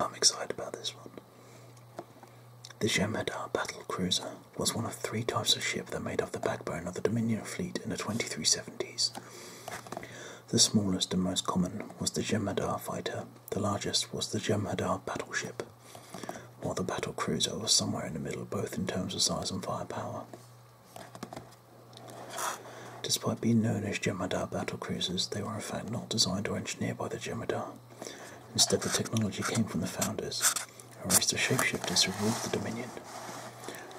I'm excited about this one. The Jem'Hadar battle cruiser was one of three types of ship that made up the backbone of the Dominion fleet in the 2370s. The smallest and most common was the Jem'Hadar fighter, the largest was the Jem'Hadar battleship, while the battle cruiser was somewhere in the middle, both in terms of size and firepower. Despite being known as Jem'Hadar cruisers, they were in fact not designed or engineered by the Jem'Hadar. Instead, the technology came from the founders, a race of shapeshifters who ruled the Dominion,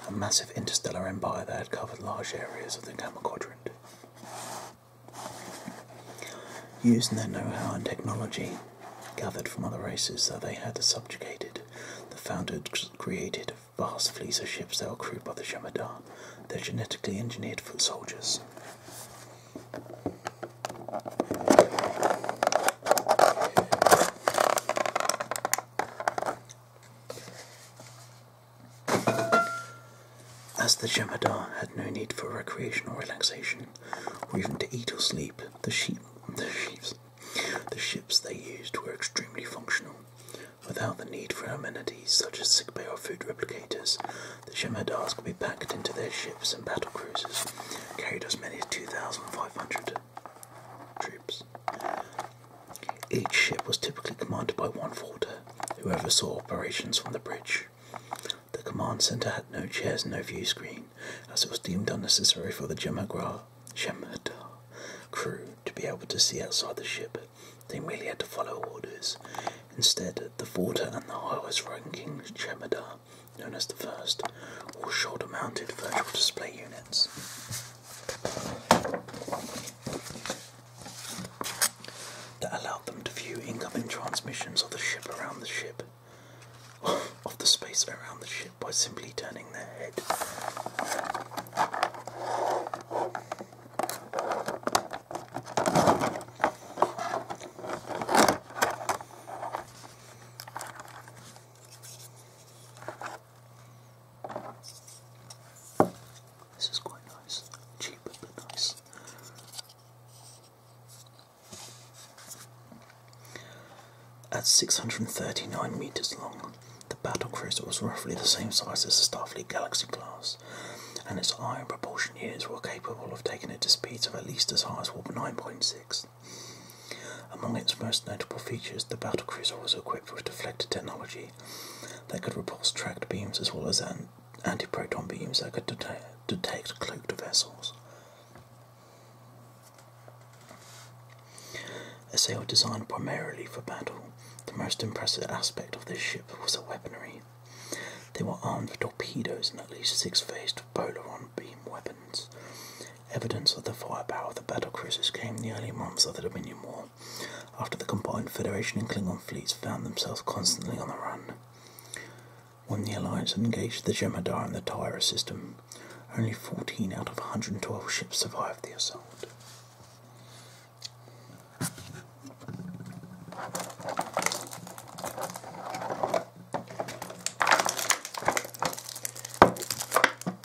a massive interstellar empire that had covered large areas of the Gamma Quadrant. Using their know how and technology gathered from other races that they had subjugated, the founders created vast fleets of ships that were crewed by the Jemadar, their genetically engineered foot soldiers. As the Jemadar had no need for recreation or relaxation, or even to eat or sleep, the sheep, the ships they used were extremely functional. Without the need for amenities such as sick bay or food replicators, the Jemadars could be packed into their ships and battle cruisers, carried as many as 2,500 troops. Each ship was typically commanded by one forder, Whoever saw operations from the bridge. The command centre had no chairs no view screen, as it was deemed unnecessary for the Jemadar crew to be able to see outside the ship. They merely had to follow orders. Instead, the Vorta and the highest ranking Jemadar, known as the First, wore shoulder mounted virtual display units that allowed them to view incoming transmissions of the ship around the ship, of the space around the ship, by simply turning their head. This is quite nice. Cheap but nice. At 639 metres long, the battle cruiser was roughly the same size as the Starfleet Galaxy class, and its iron propulsion units were capable of taking it to speeds of at least as high as warp 9.6. Among its most notable features, the battle cruiser was equipped with deflector technology they could repulse tracked beams as well as anti-proton beams that could detect cloaked vessels. A sail designed primarily for battle, the most impressive aspect of this ship was the weaponry. They were armed with torpedoes and at least six faced Polaron beam weapons. Evidence of the firepower of the battle cruisers came in the early months of the Dominion War, after the combined Federation and Klingon fleets found themselves constantly on the run. When the Alliance engaged the Jemadar and the Tyra system, only 14 out of 112 ships survived the assault.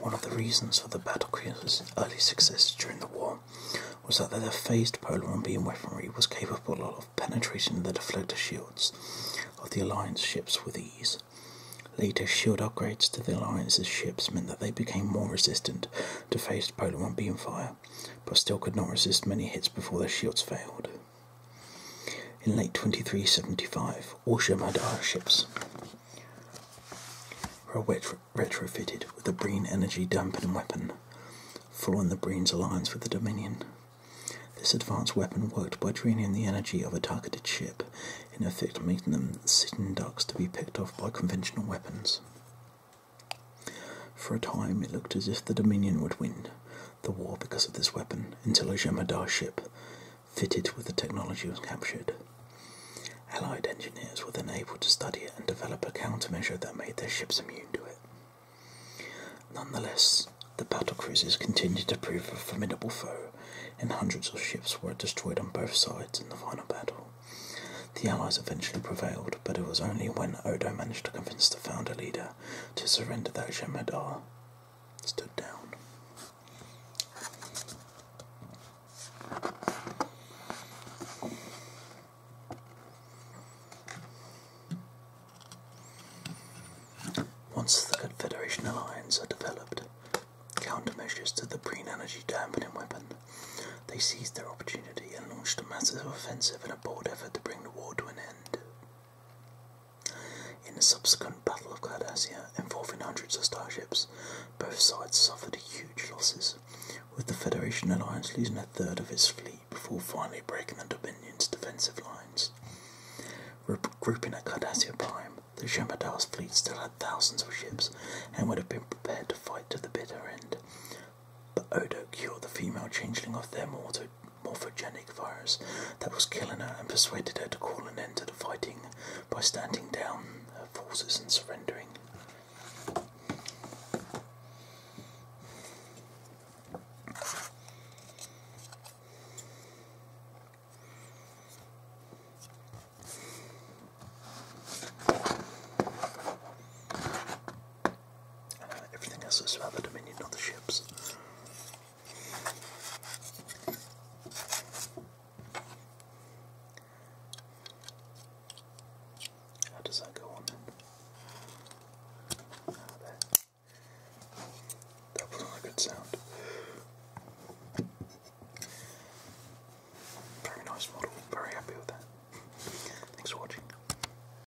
One of the reasons for the battlecruiser's early success during the war was that their phased polar beam weaponry was capable of penetrating the deflector shields of the Alliance ships with ease. Later, shield upgrades to the Alliance's ships meant that they became more resistant to phased polar beam fire, but still could not resist many hits before their shields failed. In late 2375, all Shimada ships were retrofitted with the Breen energy dampening weapon, following the Breen's alliance with the Dominion. This advanced weapon worked by draining the energy of a targeted ship, in effect making them sitting ducks to be picked off by conventional weapons. For a time, it looked as if the Dominion would win the war because of this weapon, until a Jemadar ship fitted with the technology was captured. Allied engineers were then able to study it and develop a countermeasure that made their ships immune to it. Nonetheless, the battle cruisers continued to prove a formidable foe, and hundreds of ships were destroyed on both sides in the final battle. The Allies eventually prevailed, but it was only when Odo managed to convince the founder leader to surrender that Jemadar stood down. Once the Confederation alliance had developed countermeasures to the Breen energy dampening weapon, they seized their opportunity and launched a massive offensive in a bold effort to bring the war to an end. In the subsequent Battle of Cardassia, involving hundreds of starships, both sides suffered huge losses, with the Federation Alliance losing a third of its fleet before finally breaking the Dominion's defensive lines. Regrouping at Cardassia Prime, the Shamadar's fleet still had thousands of ships and would have been prepared to fight to the bitter end. But Odo cured the female changeling of their mortal morphogenic virus that was killing her and persuaded her to call an end to the fighting by standing down her forces and surrendering. Uh, everything else is about the dominion of the ships. How does that go on then? Ah, there. That was a good sound. Very nice model, very happy with that. Thanks for watching.